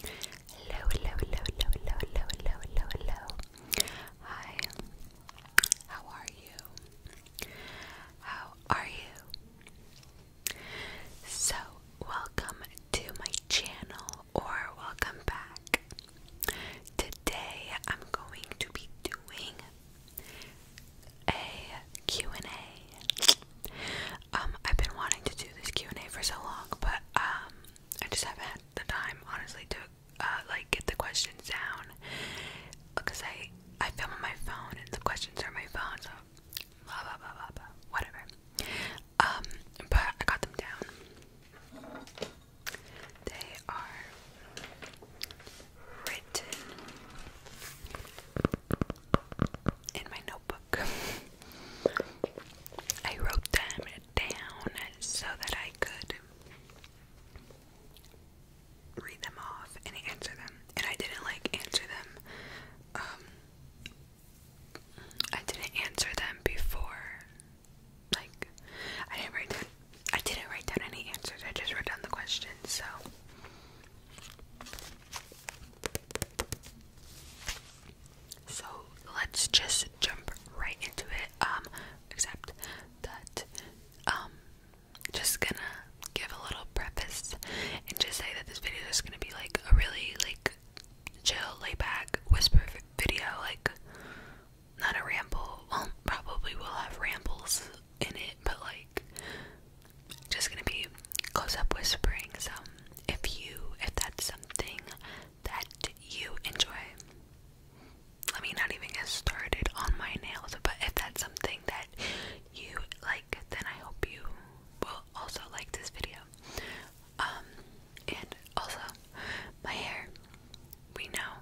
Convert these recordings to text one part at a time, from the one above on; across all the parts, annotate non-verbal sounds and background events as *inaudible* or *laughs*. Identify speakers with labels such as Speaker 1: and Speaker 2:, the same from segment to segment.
Speaker 1: Hello, hello, hello, hello, hello, hello, hello, hello, Hi. How are you? How are you? So, welcome to my channel or welcome back. Today I'm going to be doing a and a um, I've been wanting to do this Q&A for so long, but um, I just haven't had the time, honestly, to uh, like get the questions down because I I film on my phone and the questions are on my phone, so blah blah blah blah blah, whatever. Um, but I got them down. They are written in my notebook. I wrote them down so that I could read them off and answer them. And I didn't like answer them. Um, I didn't answer them before. Like, I didn't write down. I didn't write down any answers. I just wrote down the questions. So. So let's just jump right into it. Um, except that um just gonna give a little preface and just say that this video is gonna be like a really like chill, lay back, whisper video, like not a ramble. Well, probably we will have rambles in it, but like just gonna be Close up whispering. So if you, if that's something that you enjoy, let me not even get started on my nails, but if that's something that you like, then I hope you will also like this video. Um, and also, my hair. We know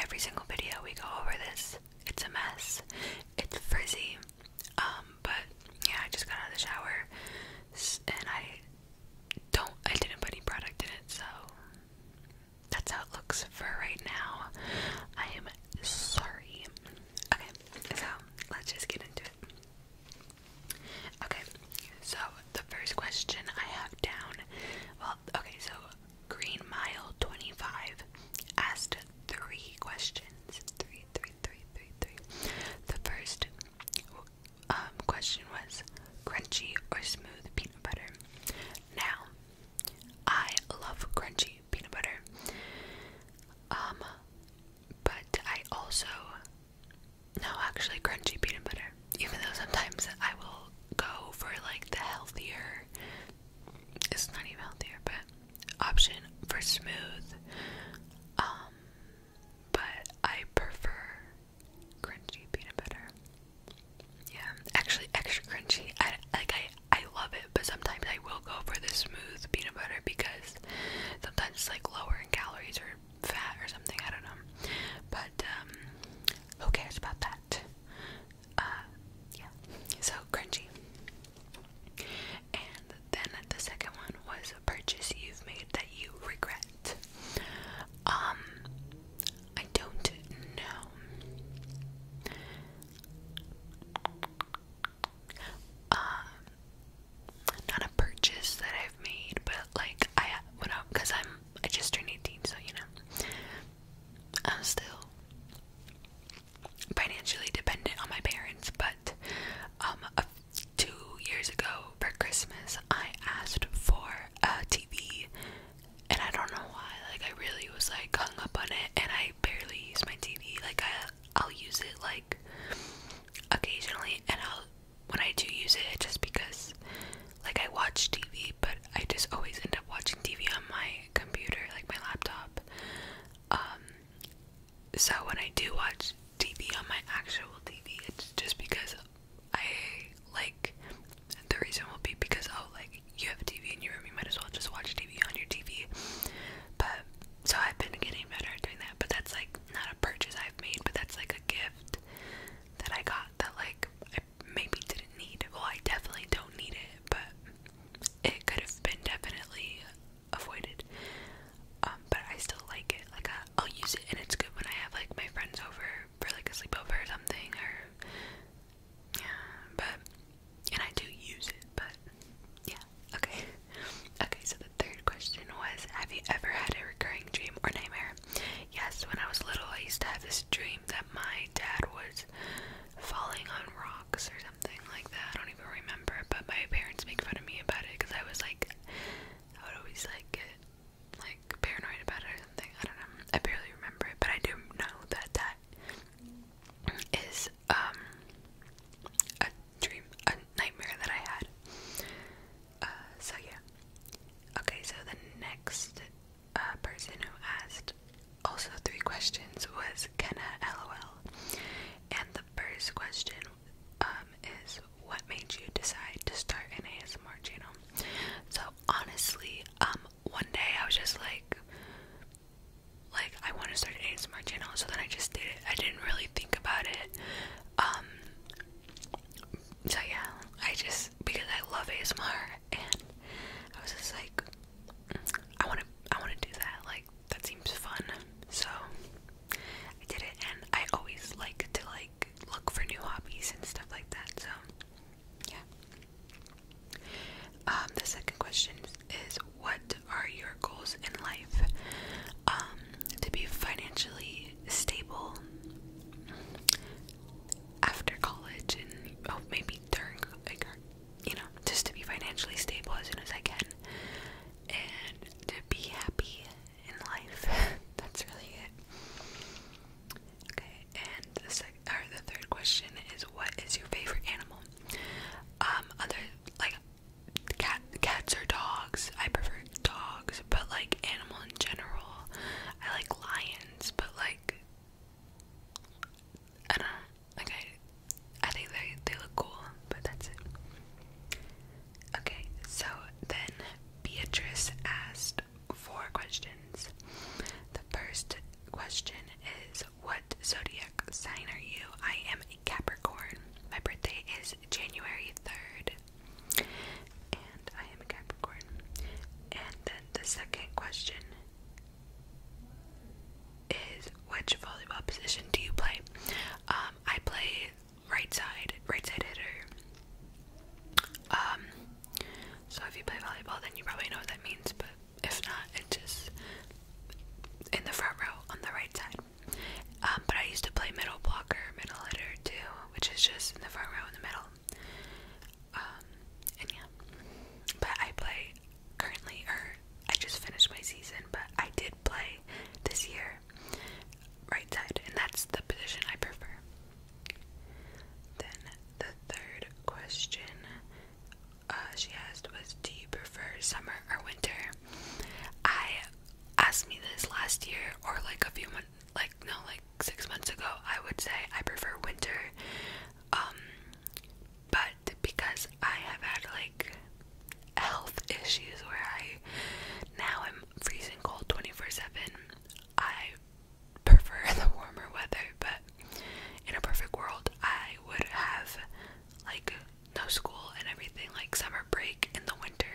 Speaker 1: every single video we go over this. It's a mess. It's frizzy. Um, but yeah, I just got out of the shower and I don't I didn't put any product in it, so that's how it looks for right now. I am sorry. Okay, so let's just get into it. Okay, so the first question I have down well, okay, so Green Mile 25 asked three questions. Three, three, three, three, three. The first um, question was crunchy or smooth peanut butter. Now, I love crunchy peanut butter. Um, but I also no, actually crunchy peanut butter. Even though sometimes I will go for like the healthier it's not even healthier, but option for smooth um but I prefer crunchy peanut butter. Yeah, actually, extra crunchy. I like I I love it, but sometimes I will go for the smooth peanut butter because sometimes it's like lower in calories or fat or something. I don't know, but um, who cares about that? Uh, yeah, so crunchy. And then the second one was a purchase you've made that you regret. Um, I don't know. Um, not a purchase that I've made, but like I went out because I'm I just turned 18, so you know I'm still financially dependent on my parents, but um two years ago for Christmas, I asked for a TV, and I don't know why. Like I really was like hung up on it, and I barely use my TV. Like I, I'll use it like occasionally, and I'll when I do use it, just because like I watch TV, but I just always end up watching TV on my computer, like my laptop. Um, so when I do watch TV on my actual TV. It's just because I like the reason will be because oh like you have a TV in your room, you might as well just watch TV on your TV. But so I've been getting better at doing that. But that's like not a purchase I've made, but that's like a gift that I got that like I maybe didn't need. Well, I definitely don't need it, but it could have been definitely avoided. Um, but I still like it. Like uh, I'll use it, and it's good when I have like my friends over for like a sleepover or something. Or yeah, but and I do use it. But yeah, okay, *laughs* okay. So the third question was, have you ever had a recurring dream or nightmare? Yes, when I was little, I used to have this dream that my dad was falling on rocks or something like that. I don't even remember, but my parents make fun of me about it because I was like I would always like get like paranoid about it or something. I don't know. I barely remember it, but I do know that that is um a dream, a nightmare that I had. Uh, so yeah. Okay, so the next uh, person who asked also three questions was Kenna LOL, and the first question um, is what made you decide to start an ASMR channel. So honestly, um, one day I was just like, like I want to start an ASMR channel, so then I just did it. I didn't really think about it. Um, so yeah, I just because I love ASMR, and I was just like, I want to, I want to do that. Like that seems fun. So I did it, and I always like to like look for new hobbies and stuff like that. So, yeah. Um, the second question is what are your goals in life? Um, to be financially stable after college and oh, maybe during like you know, just to be financially stable as soon as I can and to be happy in life. *laughs* That's really it. Okay, and the sec or the third question is, what is your favorite animal? Um, other like cat, cats or dogs. I prefer dogs, but like animal in general. I like lions, but like I don't Like I, I think they they look cool, but that's it. Okay, so then Beatrice asked four questions. The first question is What zodiac sign are you? I am a Capricorn. My birthday is January 3rd, and I am a Capricorn. And then the second question is Which volleyball position do you play? Um, I play right side, right side hitter. Um, so if you play volleyball, then you probably know what that means, but if not, it's just in the front row on the right side. Um, but I used to play middle blocker, middle hitter too, which is just in the front row in the middle. Um, and yeah, but I play currently, or I just finished my season, but I did play this year or right side, and that's the position I prefer. Then the third question uh, she asked was, "Do you prefer summer or winter?" I asked me this last year, or like a few months, like no, like six months ago. I would say I prefer winter, um, but because I have had like health issues where I now am freezing cold 24 7. I prefer *laughs* the warmer weather, but in a perfect world, I would have like no school and everything, like summer break in the winter.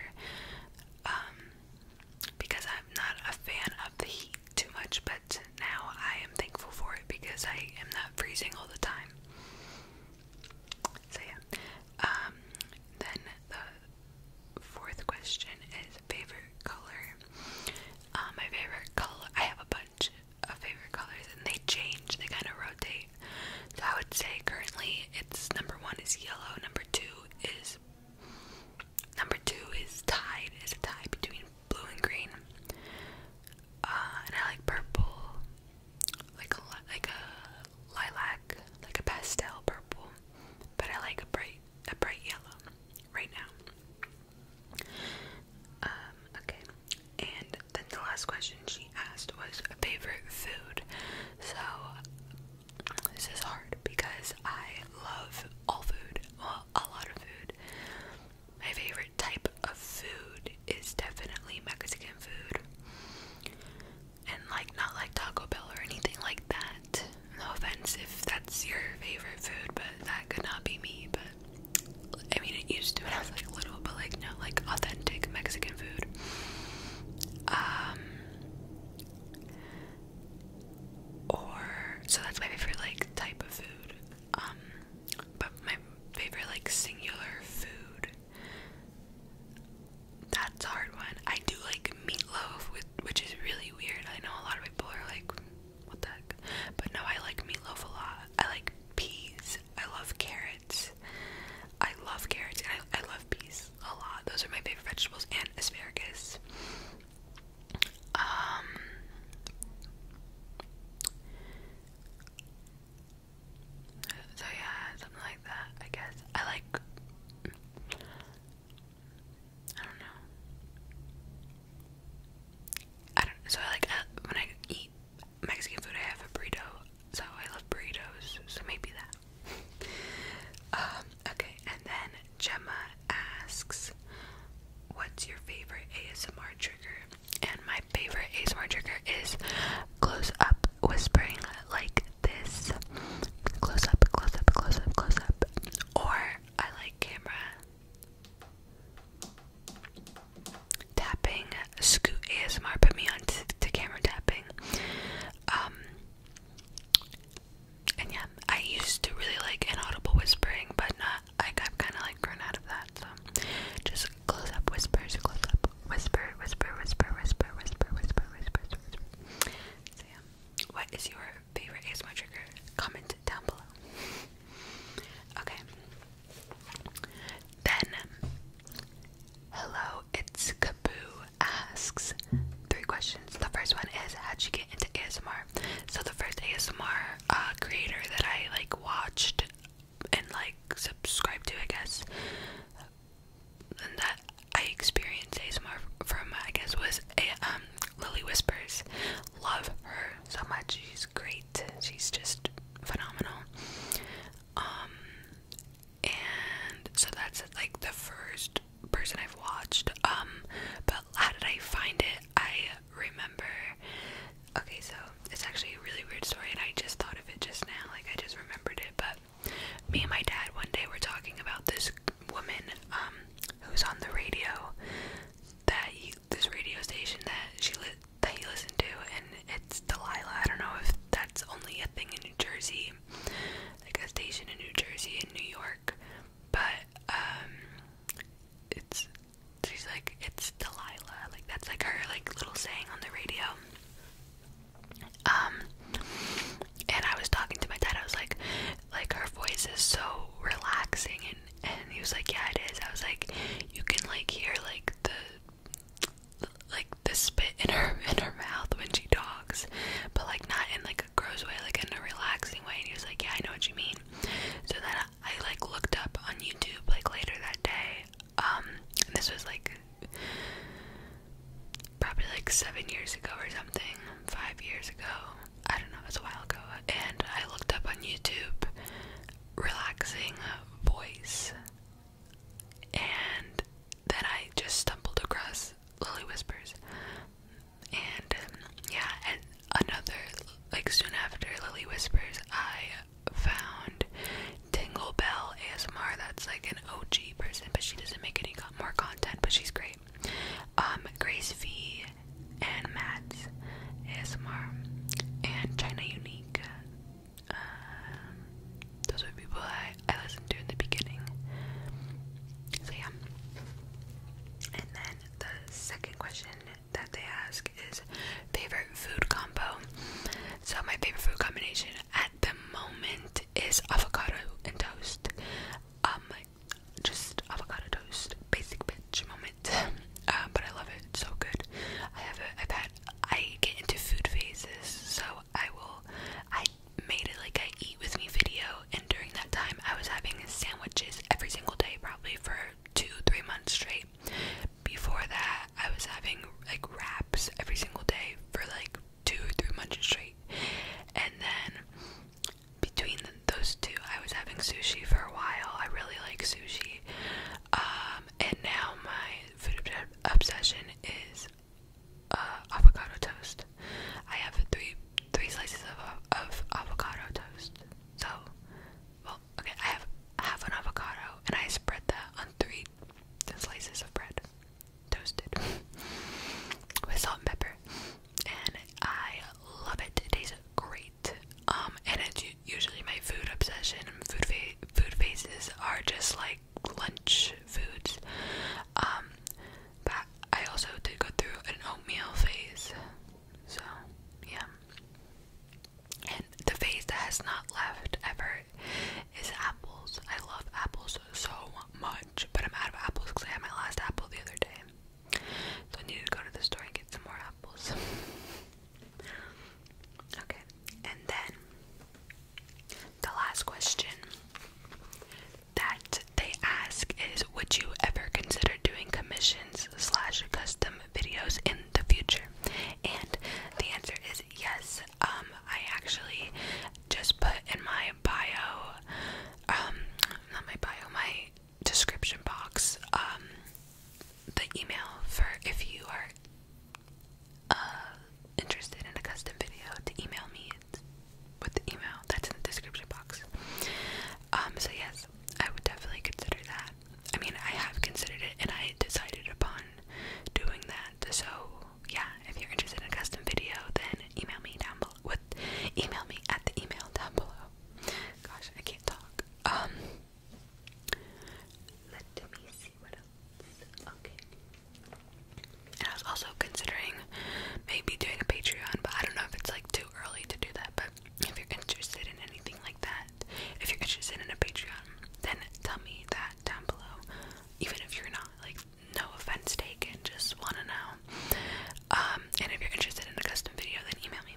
Speaker 1: Um, because I'm not a fan of the heat too much, but now I am thankful for it because I am not freezing all the time. So yeah. Um, then the fourth question is favorite color. Um, my favorite color, I have a bunch of favorite colors and they change, they kind of rotate. So I would say currently it's number one is yellow, number two is number two is tied, is a tie between blue and green. Uh, and I like purple, like a like a lilac, like a pastel purple, but I like a bright, a bright yellow right now. Um, okay. And then the last question she asked was a favorite food. So this is hard because I love all food, well, a lot of food. My favorite type of food is definitely Mexican food and like not like Taco Bell or anything like that. No offense if that's your favorite food, but that could not be me. But I mean, it used to when I was like little, but like no, like authentic Mexican food. Um, or so that's my favorite like type of food. Um, but my favorite like singular food. That's a hard one. I do like meatloaf with which is really weird. I know a lot of people are like, what the heck? But no, I like meatloaf a lot. I like peas. I love carrots. I love carrots and I, I love peas a lot. Those are my favorite vegetables and asparagus. Um so yeah, something like that, I guess. I like I don't know. I don't. So I like uh, when I eat Mexican food, I have a burrito. So I love burritos. So maybe that. *laughs* Um, okay. And then Gemma asks, "What's your favorite ASMR trigger?" And my favorite ASMR trigger is close up whispering, like this close up, close up, close up, close up, or I like camera tapping. Scoot ASMR put me on to, camera tapping. Um, and yeah, I used to really like inaudible whispering, but not. I, I've kind of like grown out of that. So just close up whispers, close up whisper, whisper, whisper, whisper, whisper, whisper, whisper. whisper. So yeah. What is your favorite ASMR trigger? Comment down below. Okay. Then, hello, it's Kaboo asks three questions. The first one is, how'd you get into ASMR? So the first ASMR uh, creator that I like watched and like subscribed to, I guess, and that I experienced a ASMR from, I guess, was a, um, Lily Whispers. Love her so much. She's great. She's just phenomenal. Um, and so that's like the first person I've watched. Um, but how did I find it? I remember. Okay, so it's actually a really weird story, and I just thought of it just now. Like I just remembered it, but me and my dad one day were talking about this woman um, who's on the radio that he, this radio station that she that he listened to, and it's Delilah. I don't know if that's only a thing in New Jersey, like a station in New Jersey and New York, but um, it's she's like it's Delilah, like that's like her like little saying on the radio. Um, and I was talking to my dad. I was like, like her voice is so relaxing, and and he was like, yeah, it is. I was like, you can like hear like the, like the spit in her in her mouth when she talks, but like not in like a gross way, like in a relaxing way. And he was like, yeah, I know what you mean. So then I, like looked up on YouTube like later that day. Um, this was like probably like seven years ago or something, five years ago. I don't know, it was a while ago. And I looked up on YouTube relaxing voice. And then I just stumbled across Lily Whispers. And um, yeah, and another, like soon after Lily Whispers, I found Tingle Bell ASMR. That's like an OG person, but she doesn't make any more content, but she's great. Um, Grace V and Matt's ASMR and China Unique. Um, those are people I, I listened to in the beginning. So yeah. And then the second question that they ask is favorite food combo. So my favorite food combination at the moment is avocado and toast. Um, just avocado toast, basic bitch moment. *laughs* Uh, but I love it, so good. I have it. I've had. I get into food phases, so I will. I made it like I eat with me video, and during that time, I was having sandwiches every single day, probably for two, three months straight. Before that, I was having like wraps every single day for like two three months straight, and then between those two, I was having sushi for a while. I really like sushi. Um, and now my food obsession is uh, avocado toast. I have three three slices of, of avocado toast. So, well, okay, I have half an avocado and I spread that on three slices of bread toasted *laughs* with salt and pepper, and I love it. It tastes great. Um, and it's usually my food obsession. Food food faces are just like lunch foods. Um, but I also did go through an oatmeal phase. So yeah. And the phase that has not left ever is apples. I love apples so much, but I'm out of apples because I had my last apple the other day. So I need to go to the store and get some more apples. *laughs* okay, and then the last question that they ask is Would you ever consider doing commissions slash custom videos in the future? And the answer is yes. Um, I actually just put in my bio, um, not my bio, my description box, um, the email for if you are uh, interested in a custom video to email me with the email that's in the description box. Um, so yes, I would definitely consider that. I mean, I have considered it and I decided upon doing that. So, yeah, if you're interested in a custom video, then email me down below email me at the email down below. Gosh, I can't talk. Um, okay. And I was also considering maybe doing a Patreon, but I don't know if it's like too early to do that. But if you're interested in anything like that, if you're interested in a Patreon, then tell me that down below. Even if you're not, like no offense taken, just want to know. Um, and if you're interested in a custom video, then email me.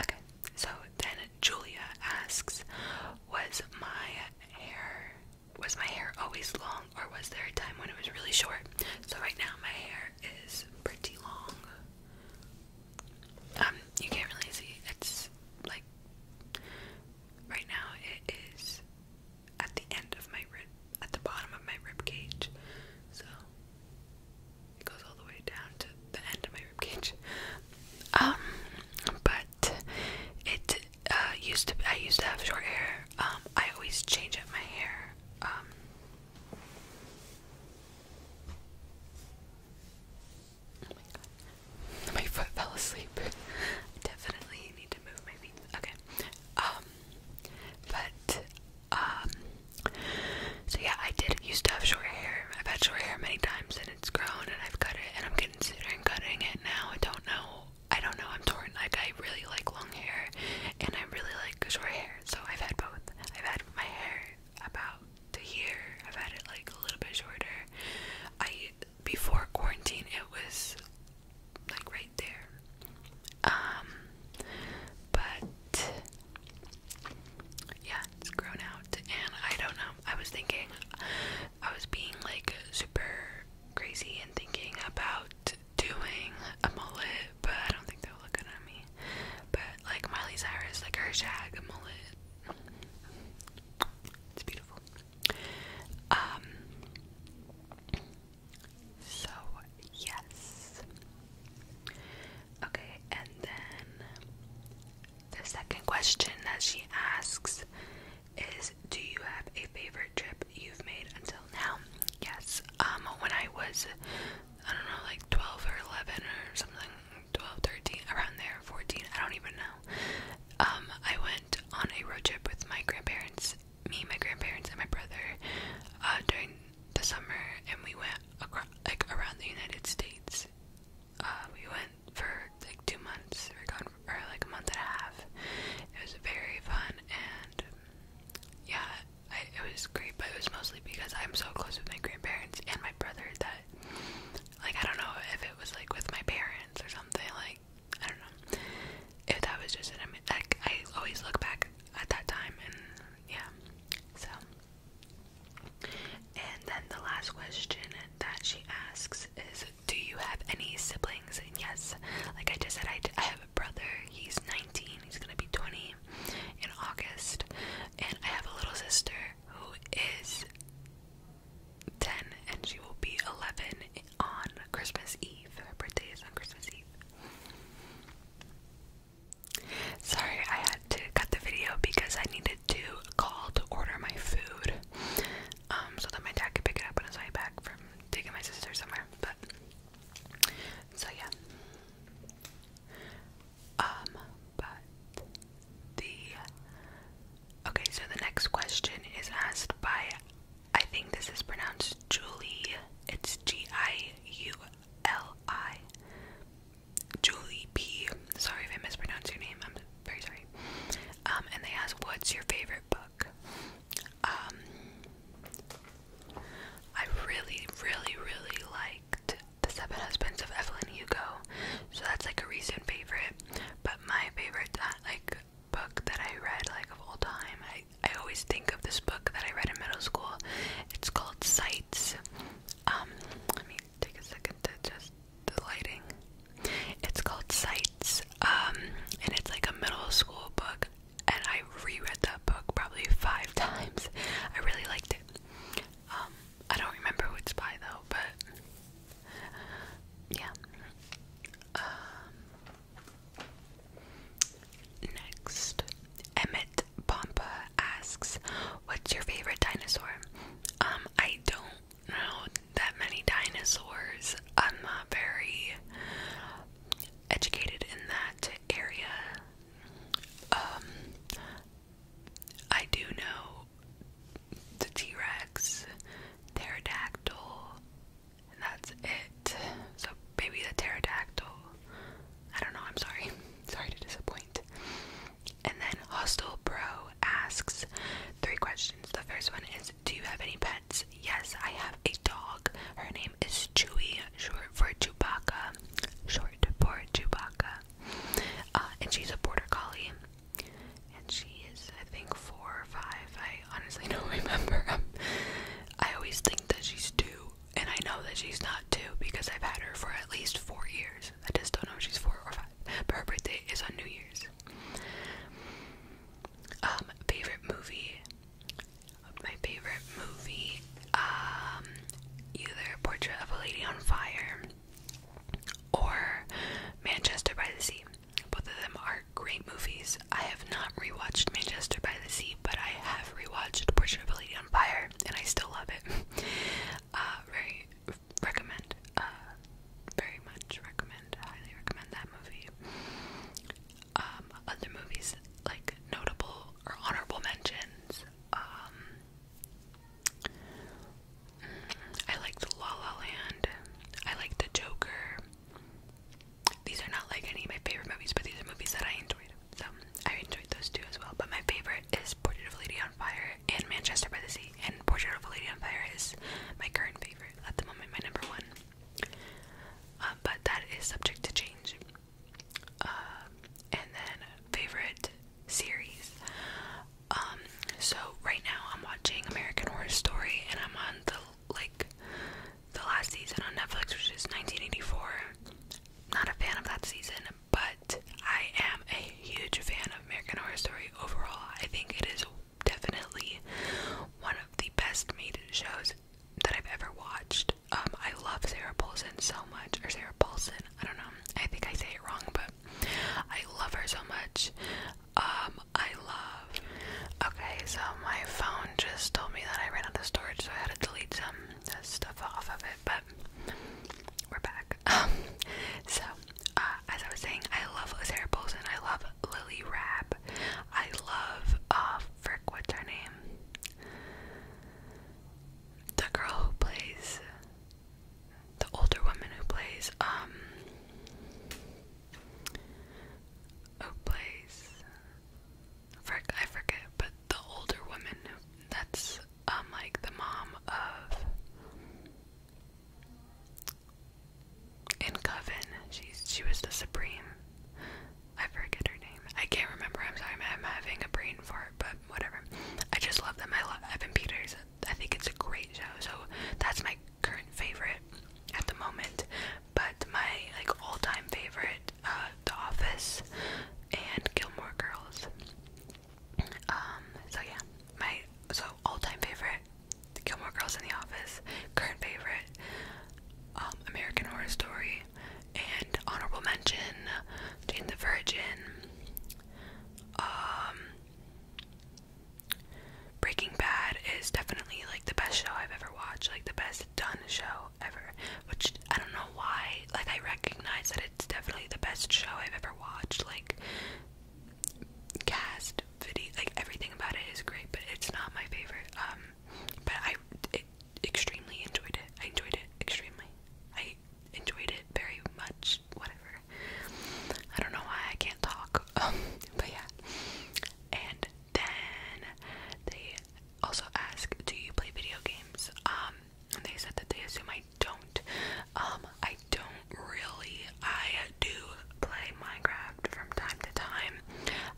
Speaker 1: Okay, so then Julia asks, was my hair was my hair always long, or was there a time when it was really short? So right now my hair is pretty long. Um, you can't really see. It's like right now it is at the end of my rib, at the bottom of my rib cage. So it goes all the way down to the end of my rib cage. Um, but it uh, used to. I used to have short hair. Um, I always change up my hair. Um. my foot fell asleep. *laughs* definitely need to move my feet. Okay. Um but um, so yeah I did used to have short hair. I've had short hair many times and it's grown and I've cut it and I'm considering cutting it now. I don't know. I don't know. I'm torn. Like I really like long hair and I really like short hair. So I've had both. I've had my hair about to here. I've had it like a little bit shorter. I before quarantine it was like right there. Um, but yeah, it's grown out, and I don't know. I was thinking, I was being like super crazy and thinking about doing a mullet, but I don't think they'll look good me. But like Miley Cyrus, like her shag mullet, it's beautiful. Um, so, yes. Okay, and then the second question that she asks is Do you have a favorite trip you've made until now? Yes, um, when I was, I don't know, like 12 or 11 or something, 12, 13, around there, 14, I don't even know. Um, I went on a road trip with my grandparents me, my grandparents, and my brother uh, during the summer, and we went across, like around the United States. Uh, we went for like two months, we were gone for or, like a month and a half. It was very fun, and yeah, I, it was great. But it was mostly because I'm so close with my grandparents and my brother that, like, I don't know if it was like with my parents or something. Like, I don't know if that was just an like I always look back at that time and yeah. So and then the last question that she asks is do you have any siblings? And yes, like I just said I, I have a brother. He's 19. He's going to be 20 in August. And I have a little sister who is 10 and she will be 11 on Christmas Eve. Her birthday is on Christmas Eve. Sorry, I had to cut the video because I needed to call to order my food. Um, so that my dad could pick it up on his way back from taking my sister somewhere. But so yeah. Um, but the okay, so the next question is asked by I think this is pronounced Julie. It's G I U L I. Julie P. Sorry if I mispronounced your name. I'm very sorry. Um, and they asked, "What's your favorite book?" Um, I really, really, really liked *The Seven Husbands of Evelyn Hugo*, so that's like a recent favorite. But my favorite, uh, like book that I read, like of all time, I I always think of this book that I read in middle school. It's called Sights. Um, let me take a second to just the lighting. It's called Sights. Um, and it's like a middle school book. And I reread that book probably five *laughs* times. I really liked it. Um, I don't remember who by though, but yeah. Next, Emmett Pompa asks, "What's your favorite dinosaur?" Um, I don't know that many dinosaurs. I'm not very educated in that area. Um, I do know the T Rex, pterodactyl, and that's it. So maybe the pterodactyl. I don't know, I'm sorry. *laughs* Sorry to disappoint. And then Hostel Bro asks three questions. The first one is Do you have any pets? Yes, I have a dog. Her name is Chewy, short for Chewbacca. Short for Chewbacca. Uh, and she's a border collie. And she is, I think, four or five. I honestly *laughs* don't remember. I always think that she's two, and I know that she's not two because I've had her for at least four years. I just don't know if she's four or five. But her birthday is on New Year's. Um, favorite movie. My favorite movie. Um, either Portrait of a Lady on Fire or Manchester by the Sea. Both of them are great movies. I have not rewatched Manchester by the Sea but I have rewatched The Portrait of a on Fire, and I still love it. *laughs* Uh, very recommend. Uh, very much recommend. Highly recommend that movie. Um, other movies like notable or honorable mentions. Um, mm, I liked La La Land. I like The Joker. These are not like any of my favorite movies, but these are movies that I enjoyed. So I enjoyed those two as well. But my favorite is Portrait of a Lady on Fire and Manchester by the Sea. And Portrait of a Lady on Fire is my current favorite at the moment, my number one. Uh, but that is subject to change. Uh, and then favorite series. Um, so right now I'm watching American Horror Story, and I'm on the like the last season on Netflix, which is 1984. Not a fan of that season, but I am a huge fan of American Horror Story overall. I think it is definitely one of the best made shows that I've ever watched. Um, I love Sarah Paulson so much, or Sarah Paulson. I don't know. I think I say it wrong, but I love her so much. Um, I love. Okay, so my phone just told me that I ran out of storage, so I had to delete some uh, stuff off of it. But we're back. *laughs* Um, so, uh, as I was saying, I love Sarah Paulson. I love Lily Rapp. I love uh, frick. What's her name? The girl who plays the older woman who plays um, who plays I forget, but the older woman that's um like the mom of in Coven, she's she was the Supreme. I forget her name. I can't remember. I'm sorry. I'm having a brain fart, but whatever. I just love them. I love Evan Peters. I think it's a great show. So that's my current favorite at the moment. But my like all-time favorite, uh, The Office and Gilmore Girls. Um, so yeah, my so all-time favorite, Gilmore Girls in The Office. Current favorite, um, American Horror Story, and honorable mention, Jane the Virgin. Um, Breaking Bad is definitely like the best show I've ever watched, like the best best done show ever. Which I don't know why. Like I recognize that it's definitely the best show I've ever watched. Like cast, video, like everything about it is great, but it's not my favorite. Um, but I extremely enjoyed it. I enjoyed it extremely. I enjoyed it very much. Whatever. I don't know why I can't talk. *laughs* Um, but yeah. And then they also ask, do you play video games? Um, they said that they assume I don't. Um, I don't really. I do play Minecraft from time to time.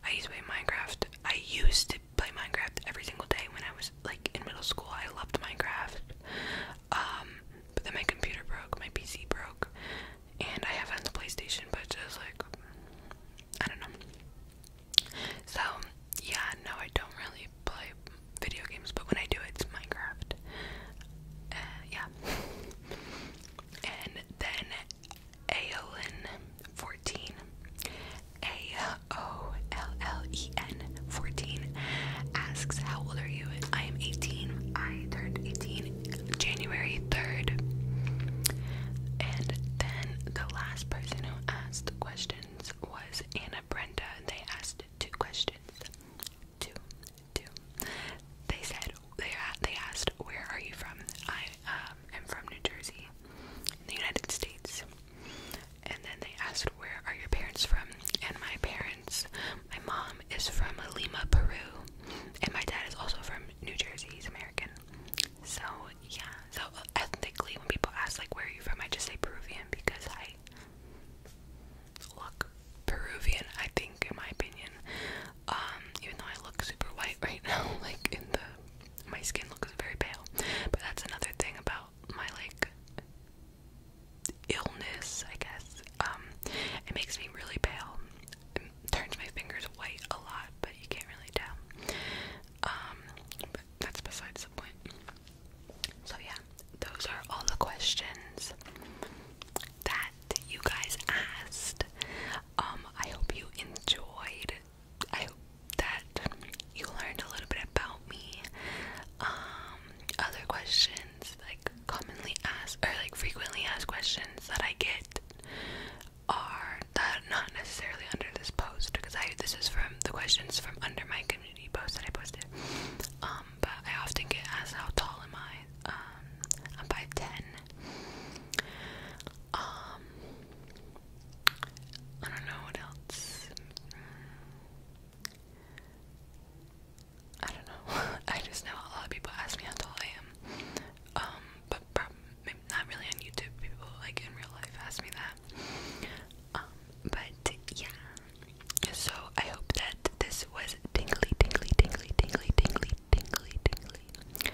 Speaker 1: I used to play Minecraft. I used to play Minecraft every single day when I was like in middle school. I loved Minecraft. Um, but then my computer broke, my PC broke, and I have it the PlayStation, but it's just like I don't know. So, yeah, no, I don't really play video games, but when I do, it's Minecraft. Uh, yeah. *laughs* and then Aolin14. A O L L E N 14 asks, How old are you? I am 18. I turned 18 January 3rd. And then the last person who asked questions was Anna Brenda. They asked two questions. Two, two. They said they they asked, "Where are you from?" I um, am from New Jersey, in the United States. And then they asked, "Where are your parents from?" And my parents, my mom is from Lima, Peru, and my dad is also from New Jersey. He's American. So yeah, so uh, ethnically, when people ask like where are you from, I just say Peruvian because I look Peruvian. I think, in my opinion, um, even though I look super white *laughs* right now, like in the my skin looks very pale. But that's another thing about my like illness, I guess. Um, it makes me really pale. It turns my fingers white a lot, but you can't really tell. Um, but that's besides the point. So yeah, those are all the questions that you guys asked. Um, I hope you enjoyed. I hope that you learned a little bit about me. Um, other questions like commonly asked or like frequently asked questions that I get are that not necessarily under this post because I this is from the questions from under my community post that I posted. Um, but I often get asked how tall am I? Um, I'm five ten. Um, I don't know what else. I don't know. *laughs* I just know a lot of people ask me how tall I am. Um, but not really on YouTube. People like in real life ask me that. Um, but yeah. So I hope that this was tingly, tingly, tingly, tingly, tingly, tingly, tingly.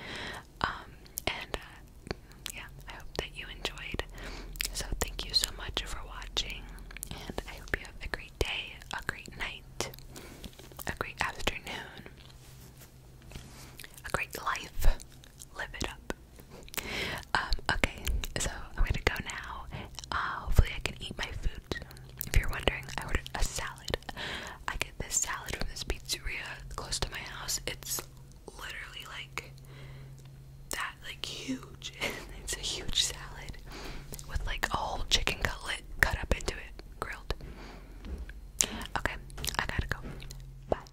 Speaker 1: Um, and uh, yeah, I hope that you enjoyed. So thank you so much for watching, and I hope you have a great day, a great night, a great afternoon, a great life, live it up. Um, okay, so I'm gonna go now. Uh, hopefully, I can eat my food If you're wondering, I ordered a salad. I get this salad from this pizzeria close to my house. It's literally like that, like huge. *laughs* it's a huge salad with like a whole chicken cutlet cut up into it, grilled. Okay, I gotta go. Bye.